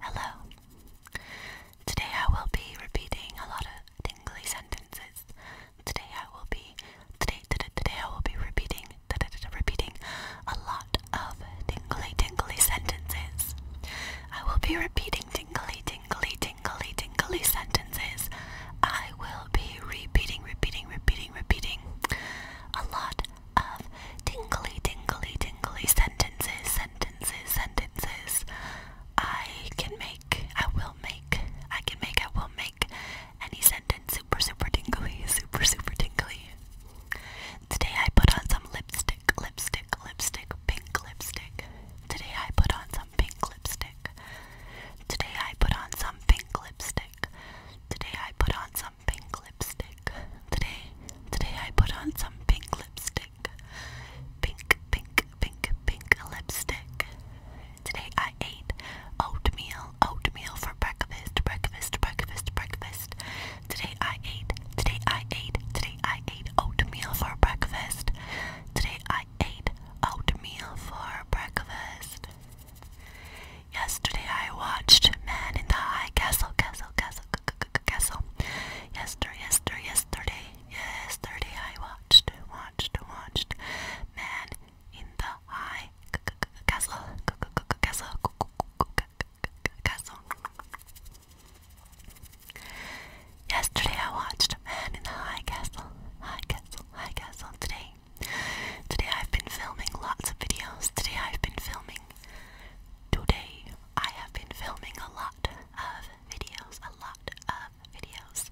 Hello. Today I will be repeating a lot of tingly sentences. Today I will be today today, today I will be repeating today, repeating a lot of tingly tingly sentences. I will be repeating tingly tingly tingly tingly sentences. I will be repeating repeating repeating repeating a lot of tingly, tingly, tingly sentences, sentences, sentences. I can make, I will make, I can make, I will make any sentence super, super tingly, super, super tingly. Today I put on some lipstick, lipstick, lipstick, pink lipstick. Today I put on some pink lipstick. Today I put on some pink lipstick. Today I put on some pink lipstick. Today, today I put on some pink lipstick. Pink, pink, pink, pink lipstick. Today I ate oatmeal, oatmeal for breakfast, breakfast, breakfast, breakfast. Today I ate, today I ate, today I ate oatmeal for breakfast. Today I ate oatmeal for breakfast. Yesterday I watched Man in the High Castle, Castle, Castle, Castle. Yesterday, yesterday, yesterday, yesterday I watched, watched, watched Man in the High Castle, Castle, Castle. Yesterday I watched Man in the High Castle, High Castle, High Castle. Today Today I've been filming lots of videos. Today I've been filming. Today I have been filming a lot of videos. A lot of videos.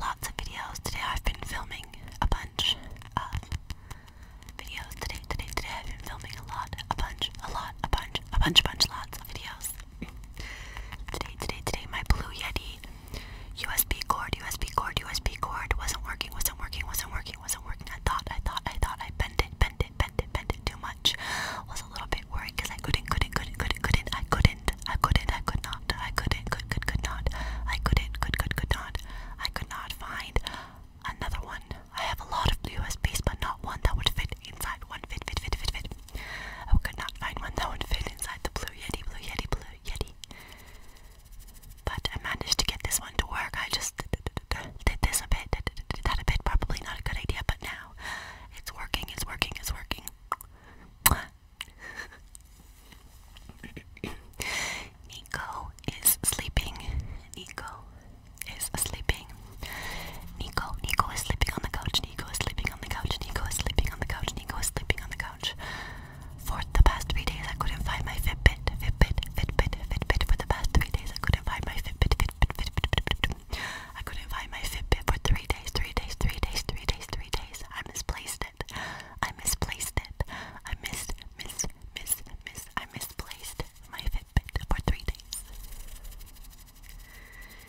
Lots of videos. Today I've been filming a bunch of videos. Today, today, today I've been filming a lot, a bunch, a lot, a bunch, a bunch, bunch, lots of videos. today, today, today my Blue Yeti USB cord, USB cord, USB cord. Wasn't working, wasn't working, wasn't working, wasn't working. I thought, I thought, I thought I bent it, bent it, bent it, bent it too much. Was a little bit worried because I couldn't, couldn't, couldn't, couldn't, couldn't, I couldn't, I couldn't, I could not, I couldn't, could, could, could not, I couldn't, could, could, could not, I could not find another one. I have a lot of USBs, but not one that would fit inside one. Fit, fit, fit, fit, fit. I could not find one that would fit inside the blue Yeti, blue Yeti, blue Yeti. But I managed to get this one to work. I just did this a bit, did that a bit. Probably not a good idea, but now it's working, it's working, it's working. Nico is sleeping. Nico is sleeping. Nico, Nico is sleeping on the couch. Nico is sleeping on the couch. Nico is sleeping on the couch. Nico is sleeping on the couch. For the past three days, I couldn't find my Fitbit, Fitbit, Fitbit, Fitbit. For the past three days, I couldn't find my Fitbit, Fitbit, Fitbit, Fitbit. I couldn't find my Fitbit for three days, three days, three days, three days, three days. I misplaced it. I misplaced it. I missed, miss, miss, miss. I misplaced my Fitbit for three days.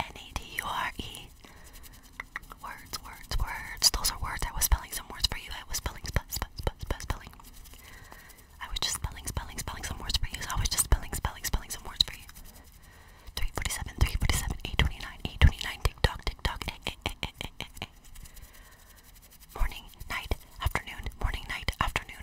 N-A-D-U-R-E. Words, words, words. Those are words. I was spelling some words for you. I was spelling, spe spe spe spelling. I was just spelling, spelling, spelling some words for you. So I was just spelling, spelling, spelling some words for you. 347, 347, 829, 829, TikTok, TikTok, eh, eh, eh, eh, eh, eh, eh. Morning, night, afternoon, morning, night, afternoon.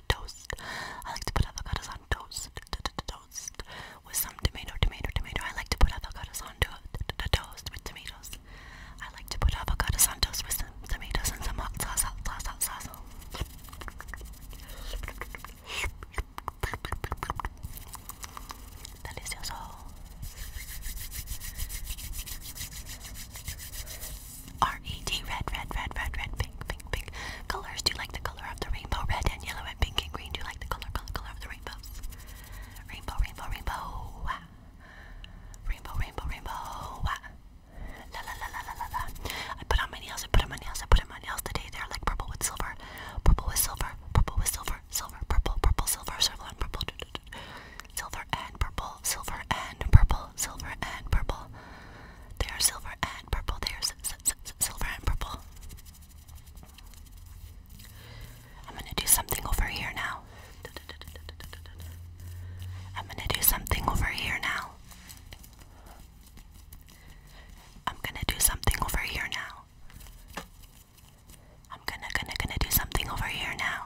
toast. I like to put avocados on toast. Toast with some tomato, tomato, tomato. I like to put avocados on toast with tomatoes. I like to put avocados on toast with some tomatoes and some hot sauce, hot sauce, hot sauce. Delicioso. R E D red, red, red, red, red, pink, pink, pink. Colors, do you like the color of the rainbow? Red and yellow and pink and green. Do you like the color, color, color of the rainbows? Rainbow, rainbow, rainbow. Rainbow, rainbow, rainbow. La la la la la la la. I put on my nails, I put on my nails, I put on my nails today. They're like purple with silver. Purple with silver. Purple with silver. Silver, purple, purple, silver, silver and purple. Silver and purple, silver and purple, silver and purple. Silver and purple. They are silver and purple. They are silver and purple. I'm gonna do something over here now. I'm gonna do something over here now. I'm gonna do something over here now. I'm gonna, gonna, gonna do something over here now.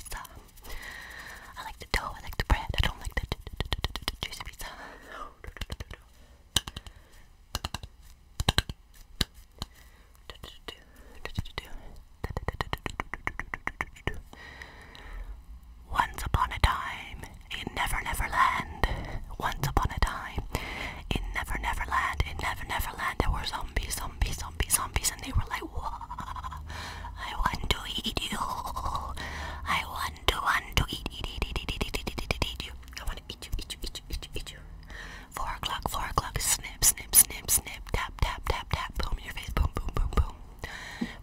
I like the dough, I like the bread. I don't like the juicy pizza. Once upon a time in Never Never Land. Once upon a time in Never Never Land. In Never Never Land, there was a zombies, zombies, zombies, zombies, and they were like, Whoa, I want to eat you. I want to want to eat, eat, eat, eat, eat, eat, eat, eat, eat, eat you. I want to eat you, eat you, eat you, eat you, eat you. Four o'clock, four o'clock, snip, snip, snip, snip, tap, tap, tap, tap, boom in your face, boom, boom, boom, boom.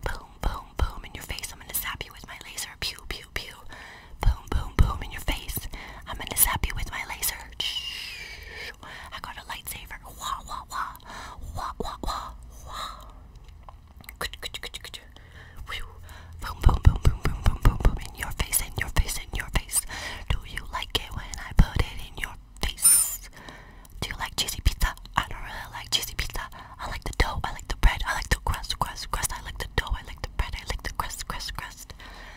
Boom, boom, boom in your face. I'm gonna zap you with my laser. Pew, pew, pew. Boom, boom, boom in your face. I'm gonna zap you with my laser. I got a lightsaber. Wah wah wah. Wah wah wah wah. Good good good good. Boom boom boom boom boom boom boom boom in your face in your face in your face. Do you like it when I put it in your face? Do you like cheesy pizza? I don't really like cheesy pizza. I like the dough, I like the bread, I like the crust, crust, crust, I like the dough, I like the bread, I like the crust, crust, crust.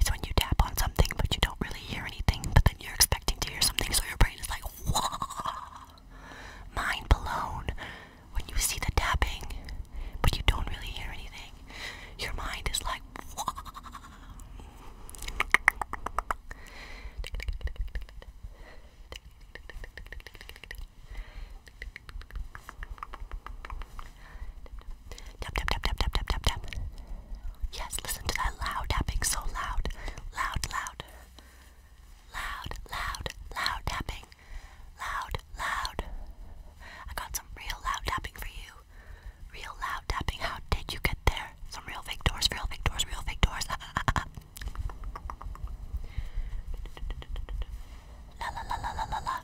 It's when you tap on something but you don't really hear anything, but then you're expecting to hear something, so your brain is like, whoa! Mind blown. When you see the tapping, but you don't really hear anything, your mind is like, Tap, tap, tap, tap, tap, tap, tap, tap. Yes, listen to that loud tapping, so loud. Loud, loud. Loud, loud, loud tapping. Loud, loud. I got some real loud tapping for you. Real loud tapping. How did you get there? Some real fake doors, real fake doors, real fake doors. Ah, ah, ah, ah. La la la la la la la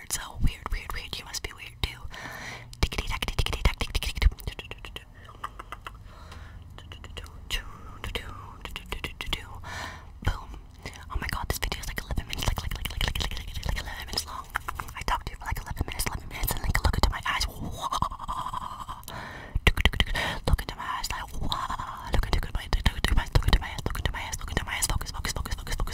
weird, so weird, weird, weird. You must be weird too. Boom. Oh my god, this video is like 11 minutes, like, like, like, like, like, like, like, like 11 minutes long. I talked to you for like 11 minutes, 11 minutes, and like, look into my eyes. Look into my eyes, like, look into my, look into my, look into my eyes, look into my eyes, look into my eyes, focus, focus, focus, focus, focus